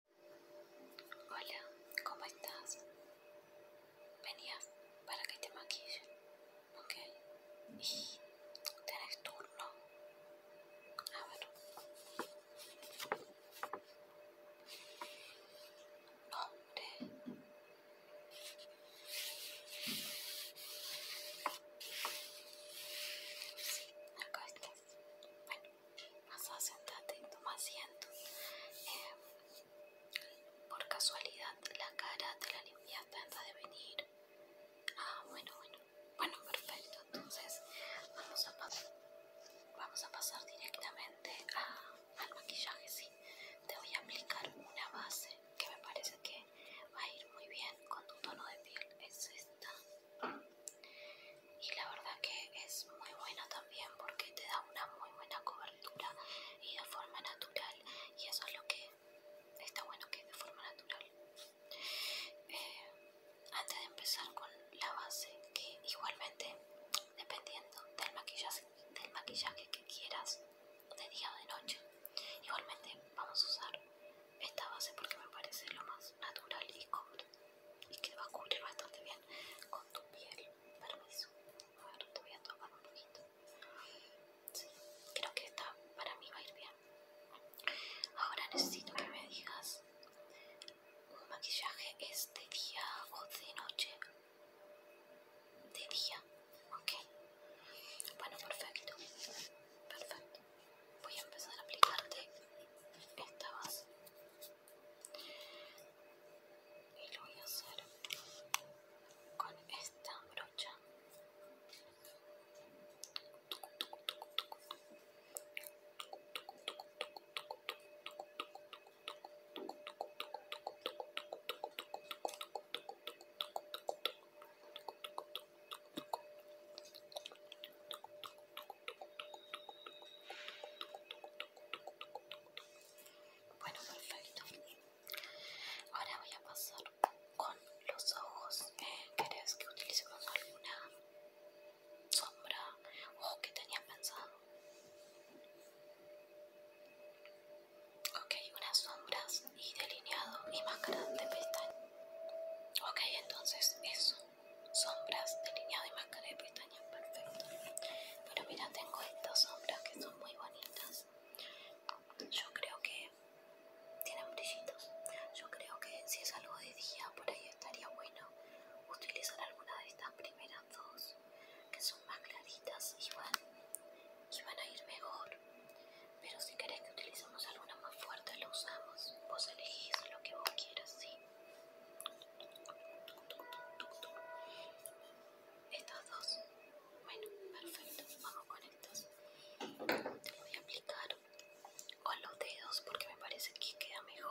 Hola, ¿cómo estás? Venías para que te maquille, ¿ok? Tienes tenés turno. A ver. Nombre. acá está. Bueno, vas a sentarte y toma asiento. Eh, por casualidad, la cara te la limpiaste antes de venir. Ah, bueno, bueno. Bueno, perfecto. Entonces, vamos a, vamos a pasar directamente al maquillaje, sí. Te voy a aplicar una base que me parece que va a ir muy bien con tu tono de piel. Es esta y la verdad que es muy buena también porque te da una muy buena cobertura y de forma natural y eso es lo que está bueno que es de forma natural eh, antes de empezar con la base que igualmente dependiendo del maquillaje del maquillaje que quieras de día o de noche igualmente vamos a usar esta base porque me parece lo más natural y cómodo y que va a cubrir bastante bien con tu piel. Permiso, a ver, te voy a tomar un poquito. creo que esta para mí va a ir bien. Ahora necesito que me digas: ¿un maquillaje este día o de noche? De día, ok. Bueno, perfecto. Perfecto. Voy a empezar a aplicarte esta base y lo voy a hacer con esta brocha bueno, perfecto. Ahora voy a pasar con los ojos. ¿Querés que utilicemos alguna sombra o que tenía pensado? Ok, unas sombras y delineado y máscara de pestañas. Ok, entonces eso sombras de línea y máscara de pestañas perfecto pero mira tengo estas sombras que son muy bonitas yo creo que tienen brillitos yo creo que si es algo de día por ahí estaría bueno utilizar alguna de estas primeras dos que son más claritas y van, van a ir mejor pero si querés que utilicemos alguna más fuerte la usamos vos elegís lo que vos quieras estos dos. Bueno, perfecto. Vamos con estos. Te voy a aplicar con los dedos porque me parece que queda mejor.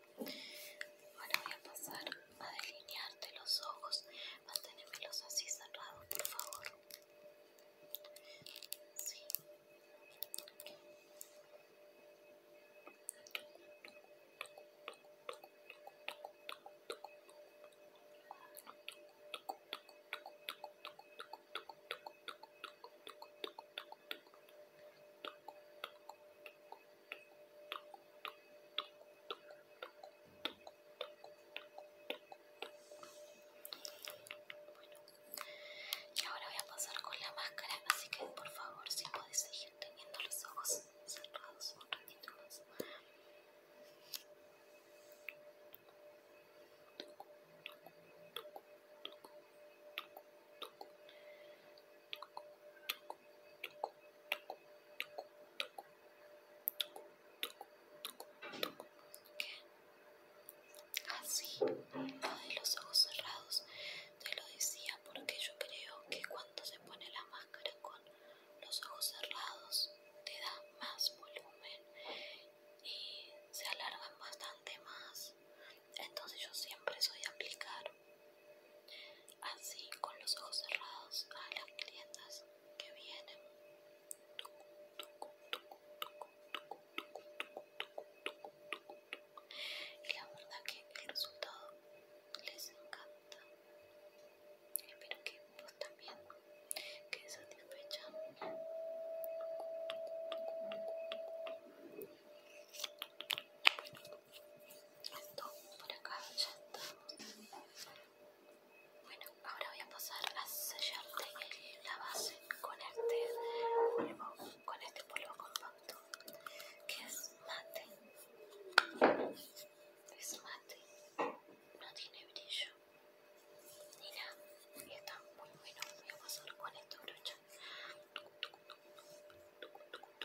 Ahora voy a pasar a delinearte los ojos. Manténemelos así cerrados, por favor. Y ahora voy a pasar con la máscara, así que por favor si podéis seguir teniendo los ojos cerrados un ratito más. Así, con los ojos cerrados, te lo decía porque yo creo que cuando se pone la máscara con los ojos cerrados te da más volumen y se alargan bastante más. Entonces yo siempre soy de aplicar Así, con los ojos cerrados a las clientas que vienen. Y la verdad que el resultado les encanta. Espero que vos también quedes satisfecha. Esto por acá ya está. Bueno, ahora voy a pasar a sellarte la base con este polvo, con este polvo compacto, que es mate. Es mate, no tiene brillo mira, Y está muy bueno. Voy a pasar con esta brocha. Bueno,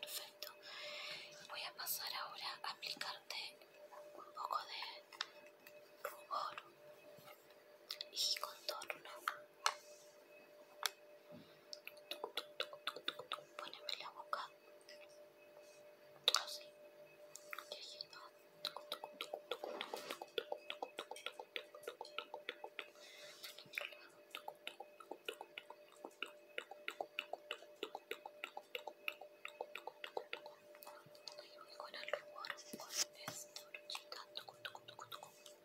perfecto. Voy a pasar ahora a aplicarte un poco de rubor y contorno. Poneme la boca así. que ahí Y con el con esta brochita, y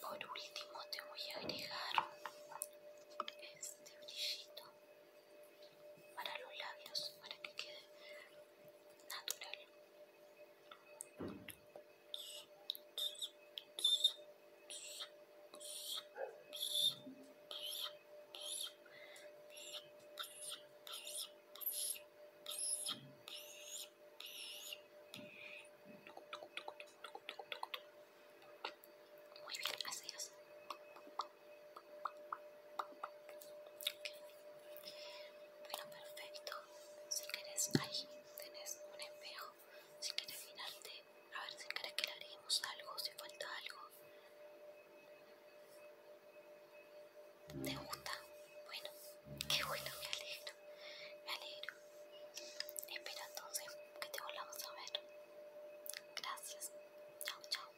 por último te voy a agregar este brillito para los labios para que quede natural. Muy bien, así es. Bueno, perfecto. Si querés, ahí tenés un espejo si quieres mirarte a ver si crees que le algo, si falta algo. ¿Te gusta? Bueno, qué bueno, me alegro, me alegro. Espero entonces que te volvamos a ver. Gracias. Chao, chao.